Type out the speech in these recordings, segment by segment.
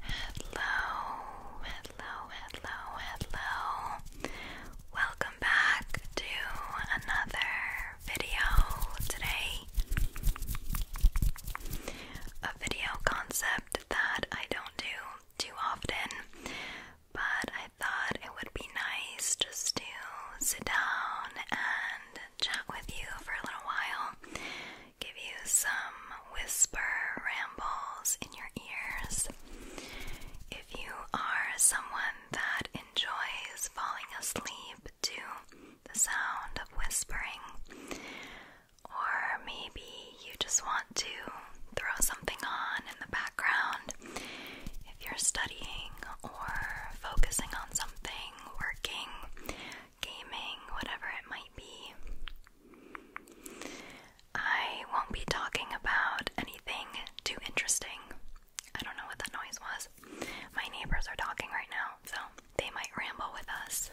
Hello, hello, hello, hello. Welcome back to another video today. A video concept that I don't do too often, but I thought it would be nice just to sit down and chat with you for a little while give you some whisper rambles in your ears. If you are someone that enjoys falling asleep to the sound of whispering, or maybe you just want to throw something on in the background, if you're studying or focusing on something, working, gaming, whatever it might be. I won't be talking about anything too interesting. I don't know what that noise was. My neighbors are talking right now, so they might ramble with us.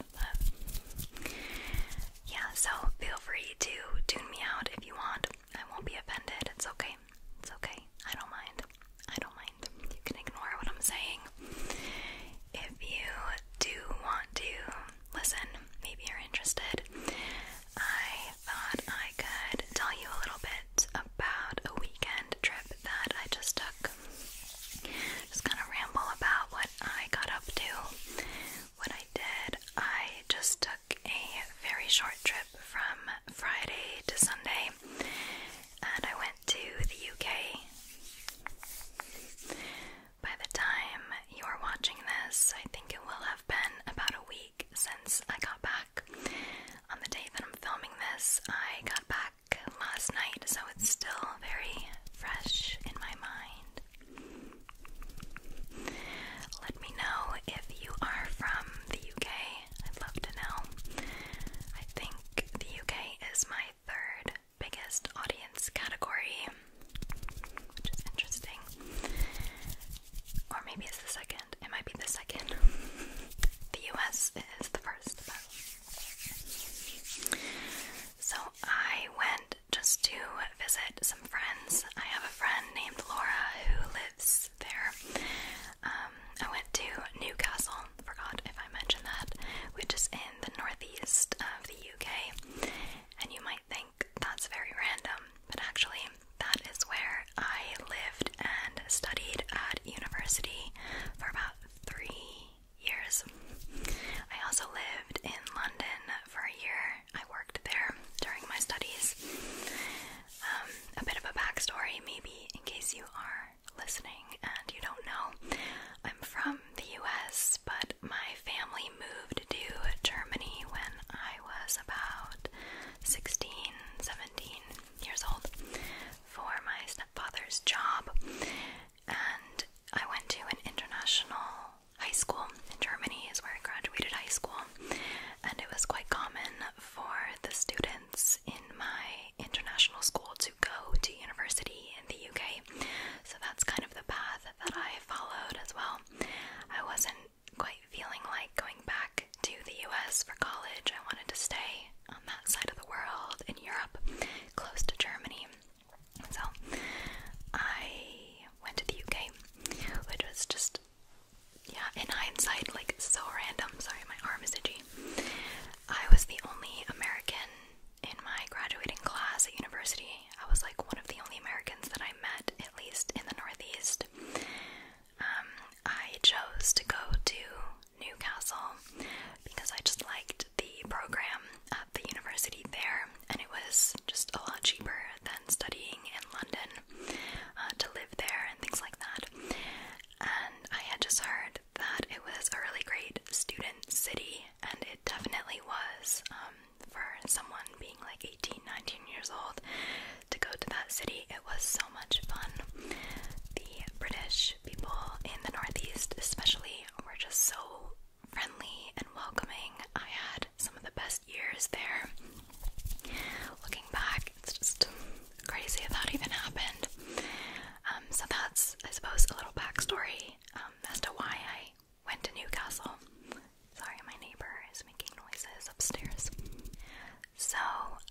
yeah, so feel free to tune me out if you want. I won't be offended. It's okay. It's okay. I don't mind. I don't mind. You can ignore what I'm saying. If you do want to listen, maybe you're interested. I thought I could tell you a little bit about a weekend trip that I just took. Just kind of ramble about what I got up to, what I did. I just took a very short trip from Friday to Sunday, and I went to the UK. By the time you're watching this, I think it will have been about a week since I got back. On the day that I'm filming this, I got back last night, so it's still very fresh in my mind. Let me know if you are from the UK. I'd love to know. I think the UK is my third biggest audience category, which is interesting. Or maybe it's the second. It might be the second. the US is the first, So I went just to visit some friends. I have a friend named Laura who lives there. Um, I went to Newcastle forgot if I mentioned that, which is in the northeast of the UK. And you might think that's very random, but actually, that is where I lived and studied at university for about three years. I also lived in London for a year. I worked there during my studies. Um, a bit of a backstory, maybe, in case you are listening and you don't know, I'm from the US, but my family moved to Germany when I was about 16, 17 years old for my stepfather's job. And I went to an international high school in Germany, is where I graduated high school, and it was quite common for the students in my international school to go to university in the UK. So that's kind of the path that I followed as well. I wasn't quite feeling like going back to the US for college. I wanted to stay on that side of the world in Europe, close to Germany. So I went to the UK, which was just, yeah, in hindsight, like so random. Sorry, my arm is itchy. I was the only American in my graduating class at university. I was like one of the only Americans that I met, at least in the Northeast. Um, I chose to go to Newcastle because I just liked the program at the university there, and it was just a lot cheaper than studying in London uh, to live there and things like that. And I had just heard that it was a really great student city, and it definitely was um, for someone being like 18, 19 years old to go to that city. It was so much fun. The British people in the Northeast, especially, were just so friendly and welcoming. I had some of the best years there. Looking back, it's just crazy that even happened. Um, so that's, I suppose, a little backstory um, as to why I went to Newcastle. Sorry, my neighbor is making noises upstairs. So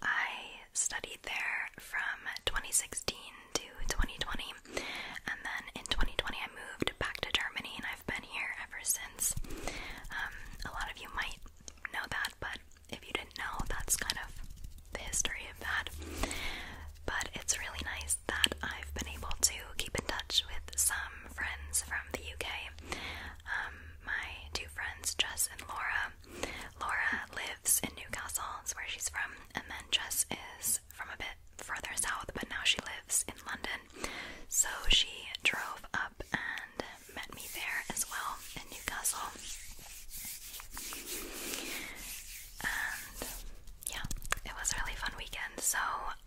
I studied there from 2016 to 2020, and then in 2020 I moved back to Germany, and I've been here ever since. Um, a lot of you might know that, but if you didn't know, that's kind of the history of that. But it's really nice that I've been able to keep in touch with some friends from the UK. Um, my two friends, Jess and Laura. Laura lives in Newcastle, that's where she's from, and then Jess is from a bit further south, but now she lives in London. So she drove up and met me there as well in Newcastle. And yeah, it was really fun weekend. So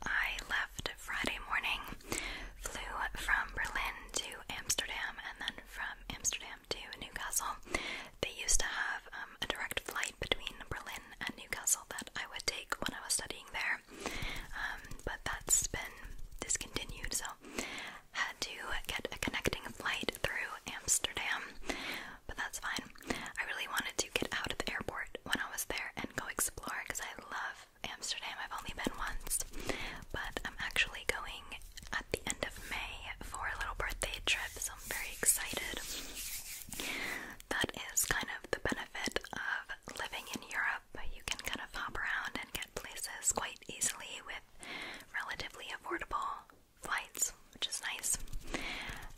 I left Friday morning, flew from Berlin to Amsterdam, and then from Amsterdam to Newcastle. They used to have um, a direct flight between Berlin and Newcastle that I would take when I was studying there, um, but that's been discontinued. So had uh, to get a connecting flight through Amsterdam, but that's fine. I really wanted to get out of the airport when I was there and go explore because I love Amsterdam. I've only been once, but I'm actually going at the end of May for a little birthday trip, so I'm very excited. That is kind of the benefit of living in Europe. You can kind of hop around and get places quite easily with relatively affordable flights, which is nice.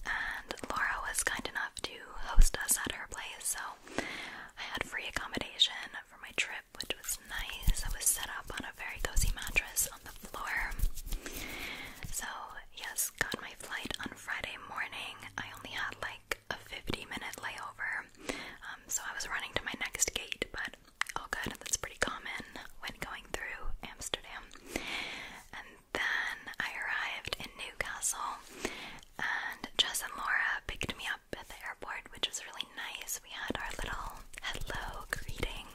And Laura was kind enough to host us at her place, so I had free accommodation for my trip, which was nice. I was set up on a very cozy mattress on the floor. So, yes, got my flight on Friday morning. I only had like a 50 minute layover, um, so I was running to my next gate, but good. good. That's pretty common when going through Amsterdam. And then I arrived in Newcastle, and Jess and Laura picked me up at the airport, which was really nice. We had our little hello greeting.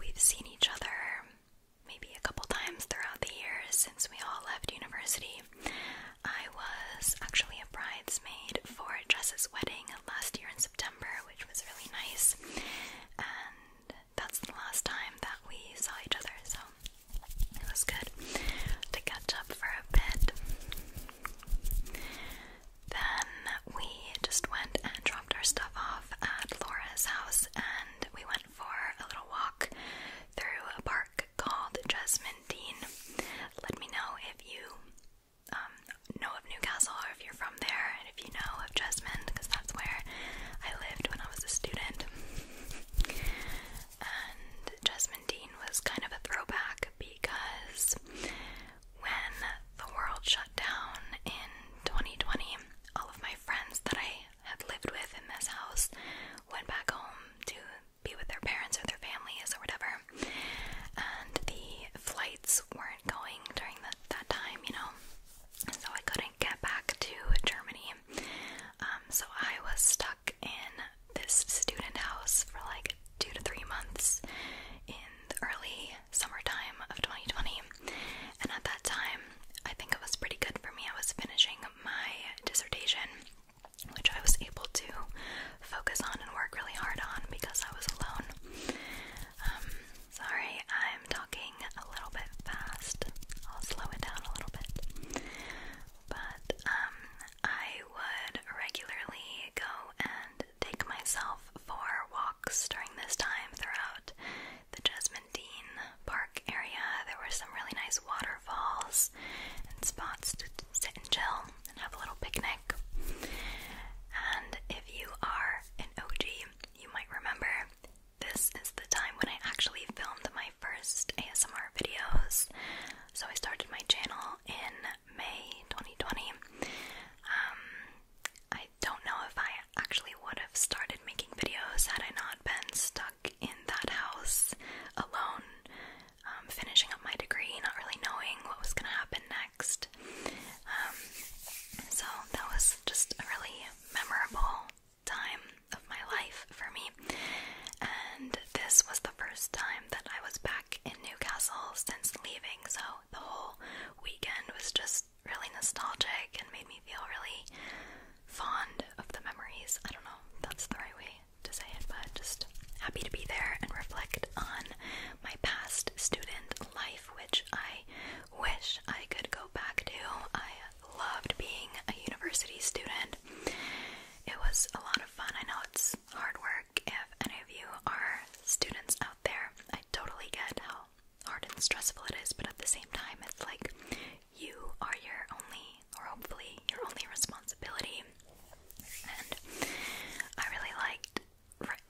We've seen each other maybe a couple times throughout the years since we all left university. I was actually a bridesmaid for Jess's wedding last year in September, which was really nice. And that's the last time that we saw each other, so it was good to catch up for a bit. Then we just went and dropped our stuff off at Laura's house, and we went for a little walk through a park called Jasmine Dean. Let me know if you um, know of Newcastle or if you're from there, and if you know of Jesmond, because that's where I lived when I was a student. And Dean was kind of a throwback because when the world shut down in 2020, all of my friends that I had lived with in this house went back home to be with their parents or their families or whatever. And the flights weren't going during that time, you know. So I couldn't get back to Germany. Um, so I was stuck in this student house for like two to three months in the early summertime of 2020. And at that time, I think it was pretty good for me. I was finishing my dissertation which I was able to focus on and work really hard on because I was alone. Um, sorry, I'm talking a little bit fast. I'll slow it down a little bit. But um, I would regularly go and take myself for walks during this time throughout the Jasmine Dean Park area. There were some really nice waterfalls and spots to sit and chill and have a little picnic. And if you are an OG, you might remember this is the time when I actually filmed my first ASMR videos. So I started my channel in May 2020. Um, I don't know if I actually would have started making videos had I not been stuck in that house alone um, finishing up my degree, not really knowing what was going to happen next. Um, so that was just a really memorable time of my life for me. And this was the first time that I was back in Newcastle since leaving, so the whole weekend was just really nostalgic and made me feel really fond of the memories. I don't know, that's the right way to say it, but just happy to be there and reflect on my past student life, which I wish I could go back to. I loved being a university student. It was a lot of fun. I know it's hard work. If any of you are students out there, I totally get how hard and stressful it is, but at the same time, it's like you are your only or hopefully your only responsibility. And I really liked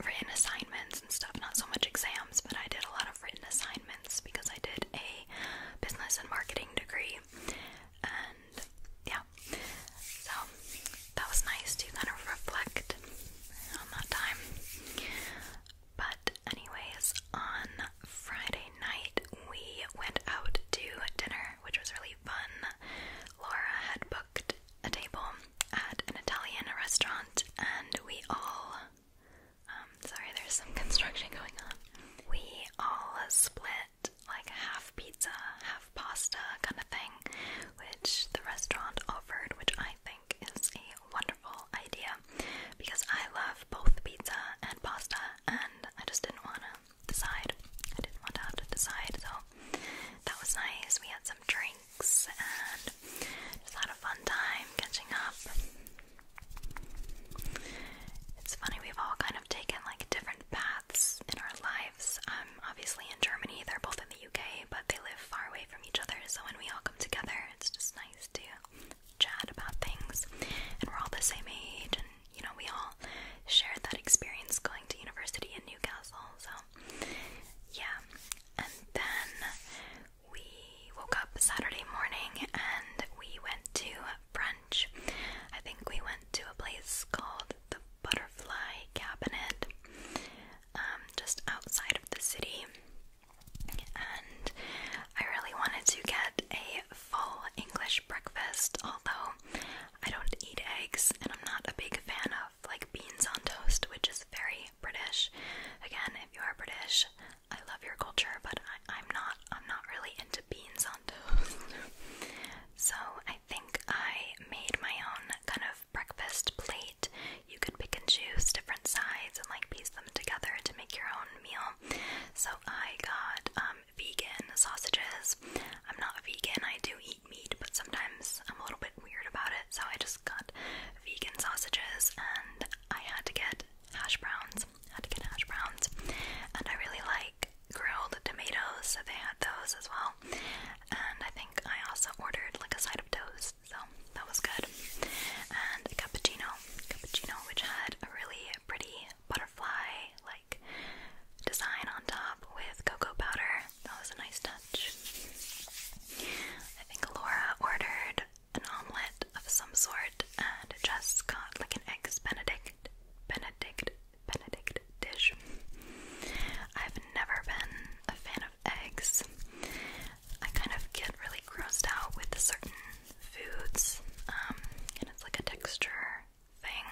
written assignments and stuff, not so much exams, but I did a lot of written assignments because I did a business and marketing degree. And yeah, so that was nice to kind of reflect on that time. But, anyways, on Friday night we went out to dinner, which was really fun. Laura had booked a table at an Italian restaurant, and we all. Um, sorry, there's some construction going on. We all split like half pizza, half pasta kind of thing, which the restaurant offered, which I think is a wonderful idea because I love both pizza and pasta, and I just didn't want to decide. I didn't want to have to decide, so that was nice. We had some drinks and just had a fun time catching up. It's funny, we've all kind of taken like different paths in our lives. Um, obviously in Germany, they're both in the UK, but they live far away from each other, so when we all come together, it's just nice to chat about things. And we're all the same age you know, we all shared that experience going to university in Newcastle. So, yeah. And then we woke up Saturday morning and we went to brunch. I think we went to a place called the Butterfly Cabinet, um, just outside of the city. And I really wanted to get a full English breakfast, although I don't eat eggs, and I'm not a big fan of like beans on toast, which is very British. Again, if you are British, I love your culture, but I, am not. I'm not really into beans on toast. so I think I made my own kind of breakfast plate. You could pick and choose different sides and like piece them together to make your own meal. So I got um, vegan sausages. I'm not a vegan, I do eat meat, but sometimes I'm a little bit weird about it, so I just got vegan sausages and I had to get hash browns. Had to get hash browns, and I really like grilled tomatoes, so they had those as well. And I think I also ordered like a side of toast, so that was good. And a cappuccino, cappuccino, which had a really pretty butterfly like design on top with cocoa powder. That was a nice touch. I think Laura ordered an omelette of some sort and just got like an eggs benedict benedict benedict dish. I've never been a fan of eggs. I kind of get really grossed out with certain foods, um, and it's like a texture thing.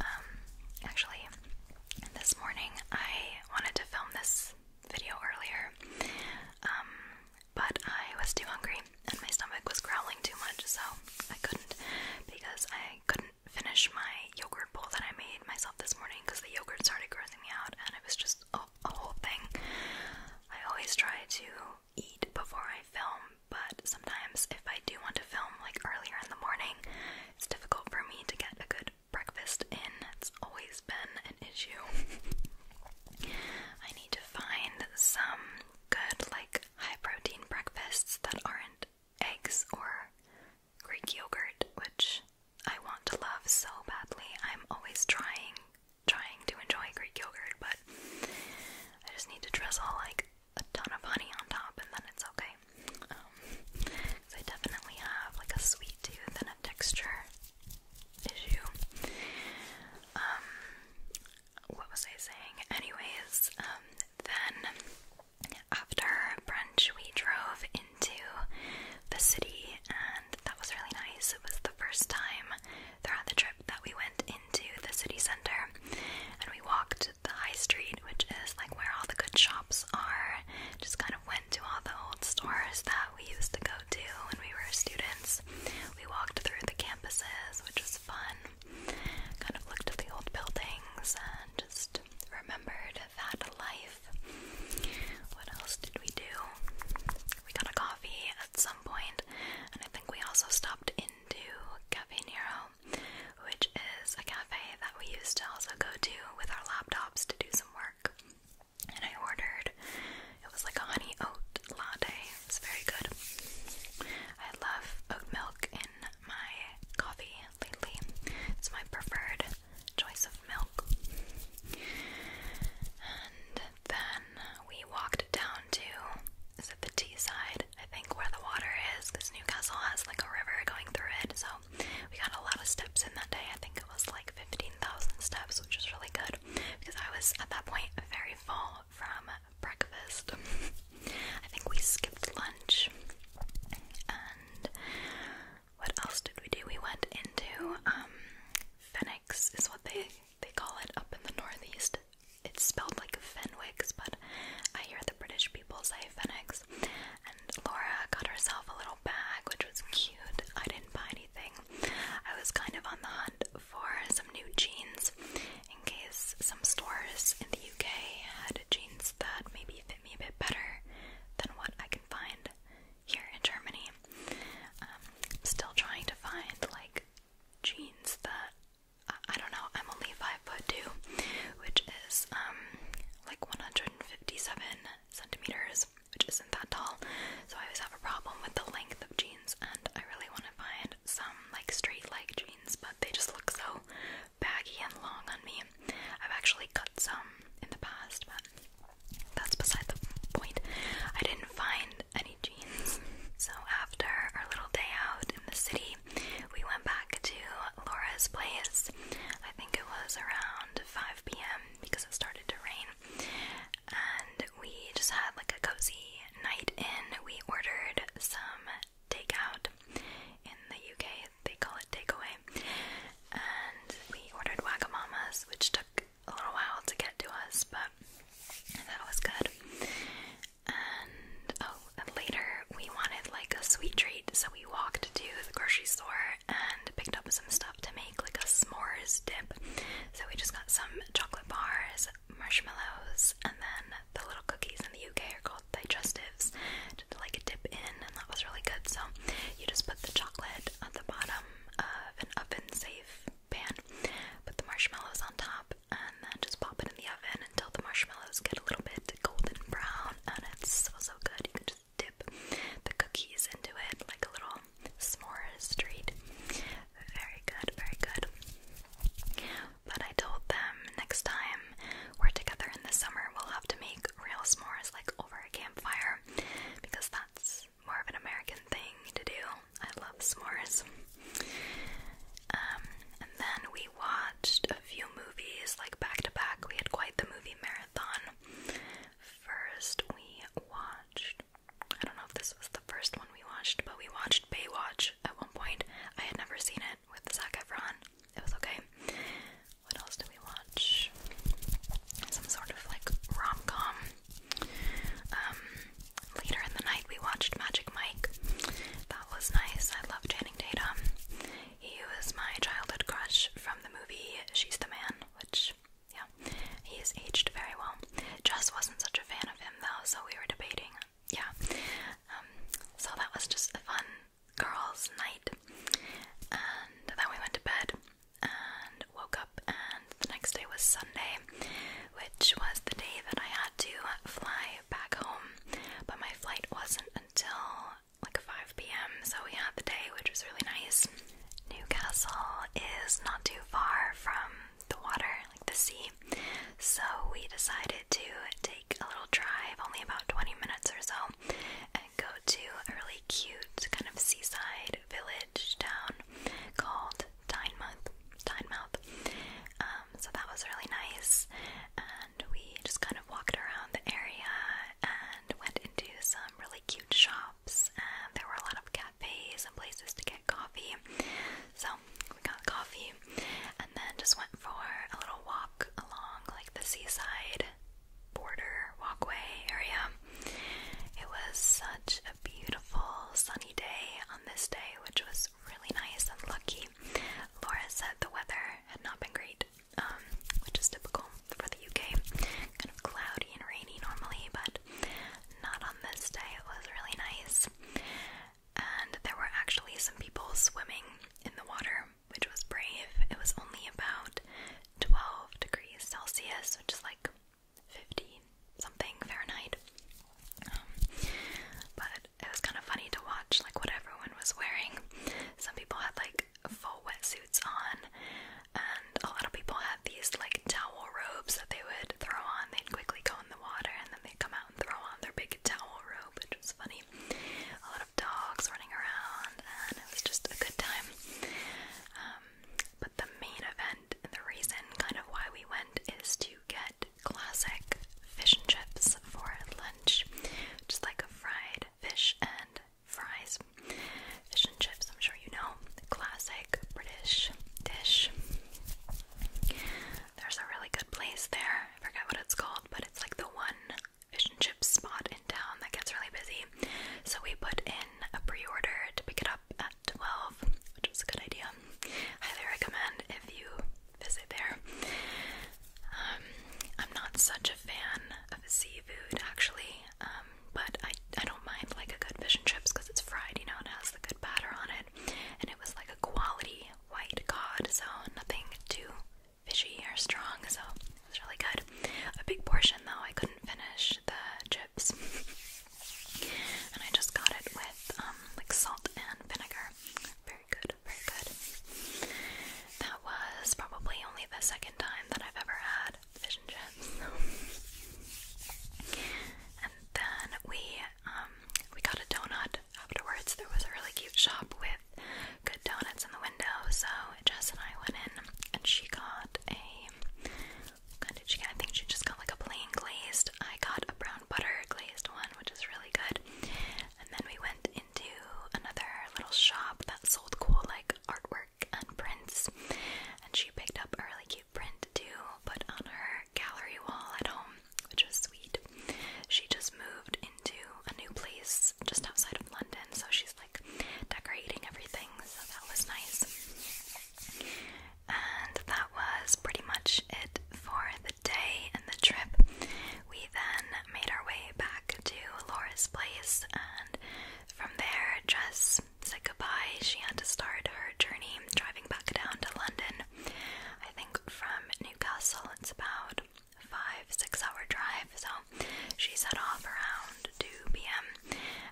Um, actually, this morning I wanted to film this video earlier, um, but I was too hungry and my stomach was growling too much, so I couldn't because I couldn't finish my yogurt bowl that I made myself this morning because the yogurt started grossing me out and it was just a whole thing. I always try to eat before I film, but sometimes if I do want to film like earlier in the morning, it's difficult for me to get a good breakfast in. It's always been an issue. I need to find some good, like, high protein breakfasts that aren't eggs or Greek yogurt, which I want to love so badly. I'm always trying, trying to enjoy Greek yogurt, but I just need to drizzle like a ton of honey on top and then it's okay. Um, cause I definitely have like a sweet tooth and a texture issue. Um, what was I saying? Anyways, um, then after brunch we drove into the city and that was really nice. It was the first time throughout the trip that we went into the city center and we walked the high street, which is like where all the good shops are. Just kind of went to all the old stores that we used to go to when we were students. We walked through the campuses, which was fun. Kind of looked at the old buildings and just remembered that life. What else did we do? We got a coffee at some point, and I think we also stopped in to Cafe Nero, which is a cafe that we used to also go to with our laptops to do some work. And I ordered, it was like a honey oat latte. It's very good. I love oat milk in my coffee lately, it's my preferred choice of milk. And then we walked down to is it the Teesside? I think where the water is, because Newcastle has like a river going through it. So we got a lot of steps in that day. I think it was like fifteen thousand steps, which was really good because I was at that point very full from breakfast. I think we skipped lunch, and what else did we do? We went into um, Phoenix, is what they they call it up in the northeast. It's spelled like Fenwick's, but I hear the British people say Fenix. And Laura got herself a little bag, which was cute. I didn't buy anything. I was kind of on the hunt for some new jeans in case some stores in the UK had jeans that maybe fit me a bit better than what I can find here in Germany. Um, still trying to find like jeans that I, don't know. I'm only five foot two, which is um like 157 centimeters, which isn't that tall. So I always have a problem with the length of jeans, and I really want to find some like straight leg jeans, but they just look so baggy and long on me. I've actually cut some in the past, but that's beside the point. I didn't find any jeans. So after our little day out in the city, we went back to Laura's place. I think it was around 5 p.m. because it started to rain. And we just had like a cozy night in. We ordered some takeout. In the UK, they call it takeaway. And we ordered Wagamamas, which took a little while to get to us, but that was good. And oh, later we wanted like a sweet treat, so we walked to the grocery store and picked up some stuff to make like a s'mores dip. So we just got some chocolate bars, marshmallows, and then the little cookies in the UK are called digestives to like dip in, and that was really good. So you just put the chocolate at the bottom of an oven safe pan. Put the marshmallows on top and then just pop it in the oven until the marshmallows get a little bit golden brown and it's so so good. You can just dip the cookies into it like a little s'mores treat. Very good, very good. But I told them next time we're together in the summer, we'll have to make real s'mores like over a campfire because that's more of an American thing to do. I love s'mores. Um, and then we watched a few movies, like back to back. We had quite the movie marathon. First, we watched. I don't know if this was the first one we watched, but we watched Baywatch at one point. I had never seen it with Zac Efron. It was okay. What else did we watch? Some sort of like rom com. Um, Later in the night, we watched Magic Mike. That was nice. I love Channing Tatum. He was my childhood crush from the movie She's the Man, which, yeah, he has aged very well. Jess wasn't such a fan of him, though, so we were debating. Yeah. Um, so that was just a fun girls' night. And then we went to bed and woke up, and the next day was Sunday, which was the day that I had to fly back home. But my flight wasn't until like 5 p.m., so we had the day, which was really nice. Newcastle is not too far from the water, like the sea, so we decided to take a little drive, only about 20 minutes or so, and go to a really cute kind of seaside village town called Tynemouth. Tynemouth. Um, so that was really nice, and we just kind of walked around the area and went into some really cute shops, and there were a lot of cafes and places to get coffee. So we got coffee, and then just went for a little walk along like the seaside border walkway area. It was such a beautiful sunny day on this day, which was really nice and lucky. Laura said the weather had not been great, um, which is typical for the UK. Kind of cloudy and rainy normally, but not on this day. It was really nice. And there were actually some people swimming in the water, which was brave. It was only about 12 degrees Celsius, which is like Fifteen something Fahrenheit. Um, but it was kind of funny to watch, like, what everyone was wearing. Some people had, like, full wetsuits on, and a lot of people had these, like, towel robes that they would throw on. They'd quickly go in the water, and then they'd come out and throw on their big towel robe, which was funny. A lot of dogs running around, and it was just a good time. Um, but the main event the reason kind of why we went is to get classic fish and chips for lunch, just like a fried fish and fries. Fish and chips, I'm sure you know, classic British dish. There's a really good place there, I forget what it's called, but it's like the one fish and chip spot in town that gets really busy so we put in a pre-order to pick it up at 12, which was a good idea. Highly recommend if you visit there. Um, I'm not such a fan of seafood actually, um, but I I don't mind like a good fish and chips because it's fried, you know, and has the good batter on it, and it was like a quality white cod, so nothing too fishy or strong, so it was really good. A big portion though, I couldn't finish the chip and I just got it with um, like salt and vinegar. Very good, very good. That was probably only the second time that I've ever had fish and chips. and then we um, we got a donut afterwards. There was a really cute shop with good donuts in the window, so Jess and I went in and she got a I think she just got like a plain glazed. I got a brown butter glazed one, which is really good. And then we went into another little shop that sold cool like artwork and prints. And she picked up a really cute print to put on her gallery wall at home, which was sweet. She just moved into a new place just outside of London, so she's like decorating everything, so that was nice. And that was pretty much it for the day and the trip. We then made our way back to Laura's place, and from there, just said goodbye. She had to start her journey driving back down to London. I think from Newcastle, it's about five, six hour drive, so she set off around 2 p.m.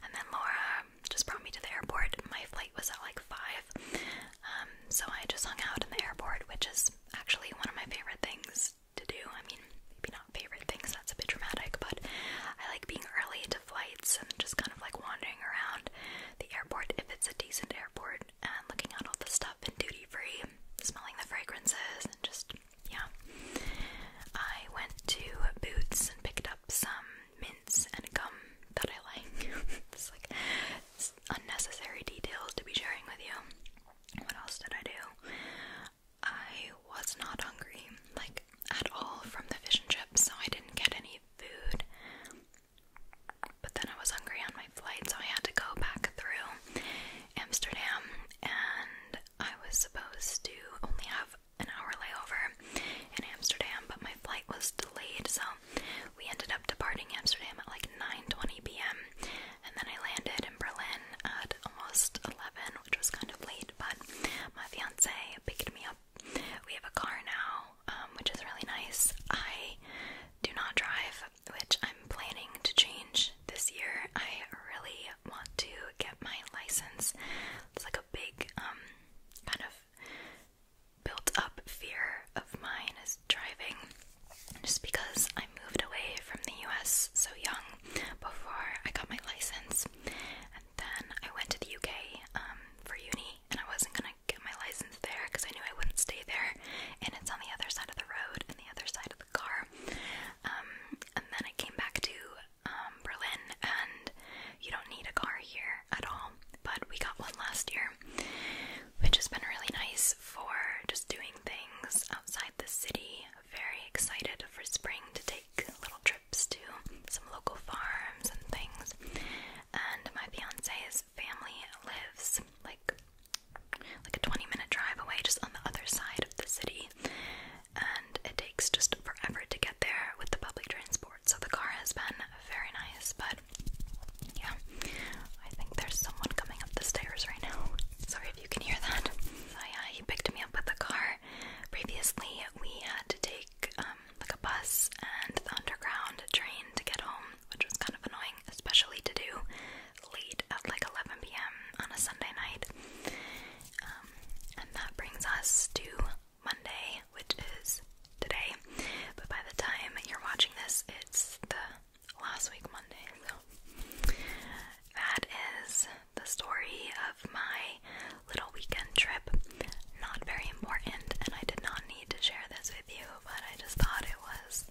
And then Laura just brought me to the airport. My flight was at like 5. Um, so I just hung out in the airport, which is actually one of my favorite things to do. I mean, maybe not favorite things, that's a bit dramatic, but I like being early to flights and just kind of like wandering around the airport if it's a decent airport and looking at all the stuff in duty free, smelling the fragrances and just yeah. I went to Boots and picked up some mints and gum that I like. it's like unnecessary details to be sharing with you. What else did I do? I was not hungry, like at all, from the fish and chips, so I didn't get any food. But then I was hungry on my flight, so I had to go back through Amsterdam, and I was supposed to only have an hour layover in Amsterdam, but my flight was delayed, so we ended up departing Amsterdam at like 9:20 p.m. and then I landed in Berlin at almost 11, which was kind of late, but my fiance picked me up. We have a car now, um, which is really nice. I do not drive, which I'm planning to change this year. I really want to get my license. It's like a big um kind of built up fear of mine is driving just because I moved away from the US so young before I got my license and then I went to the UK um, for uni and I wasn't gonna get my license there because I knew I wouldn't stay there and it's on the other side of the road and the other side of the car um, and then I came back to um, Berlin, and you don't need a car here at all. But we got one last year, which has been really nice for just doing things outside the city. Very excited for spring to take little trips to some local farms and things. And my fiance's family lives like like a 20 minute drive away just on the other side of the city and it takes just forever to get there with the public transport. So the car has been very nice, but yeah, I think there's someone coming up the stairs right now. Sorry if you can hear that. So yeah, he picked me up with the car. Previously, we had to take um, like a bus and the underground train to get home, which was kind of annoying, especially to do late at like 11 p.m. on a Sunday night. Um, and that brings us to Monday, which is today. But by the time you're watching this, it's the last week Monday. So that is the story of my little weekend trip. Not very important, and I did not need to share this with you, but I just thought it was,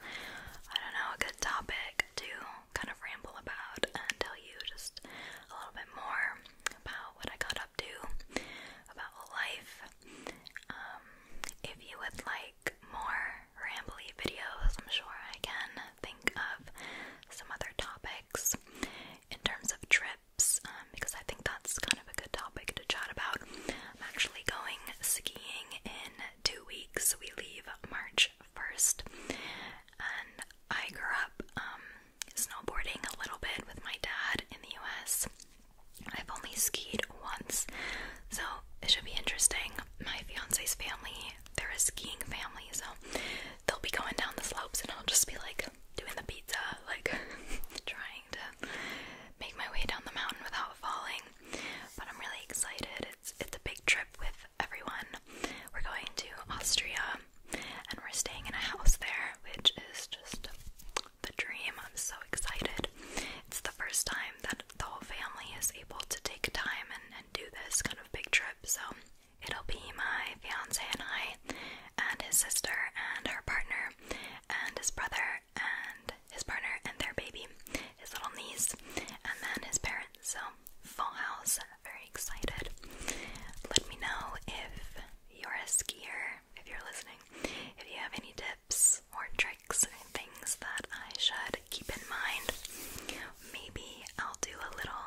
I don't know, a good topic like to kind of ramble about and tell you just a little bit more about what I got up to, about life. Um, if you would like more rambly videos, I'm sure I can think of some other topics in terms of trips, um, because I think that's kind of a good topic to chat about. I'm actually going skiing in two weeks. We leave March 1st, and I grew up um, snowboarding a little bit with my dad in the US. I've only skied once, so it should be interesting. My fiance's family, they're a skiing family, so they'll be going down the slopes and I'll just be like doing the pizza, like trying to make my way down the mountain without falling. But I'm really excited. It's it's a big trip with everyone. We're going to Austria and we're staying in a house there, which is just the dream. I'm so excited. It's the first time that the whole family is able to take time and, do this kind of big trip, so it'll be my fiance and I, and his sister, and her partner, and his brother, and his partner, and their baby, his little niece, and then his parents. So, Full House, very excited. Let me know if you're a skier, if you're listening, if you have any tips or tricks or things that I should keep in mind. Maybe I'll do a little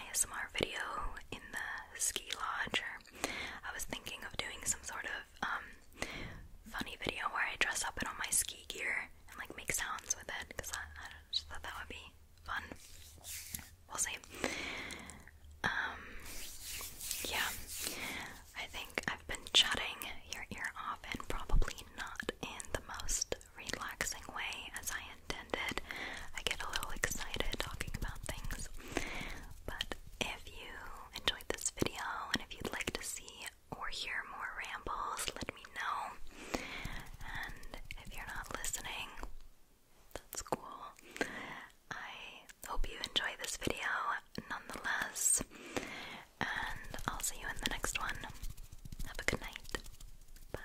ASMR video in the ski lodge, or I was thinking of doing some sort of um, funny video where I dress up in all my ski gear and like make sounds with it because I, I thought that would be fun. We'll see. Um, yeah, I think I've been chatting your ear off, and probably not in the most relaxing way as I intended. I get a little excited talking about things, but if you enjoyed this video and if you'd like to see or hear more rambles, let me know. And if you're not listening, that's cool. I hope you enjoy this video nonetheless, and I'll see you in the next one. Have a good night. Bye.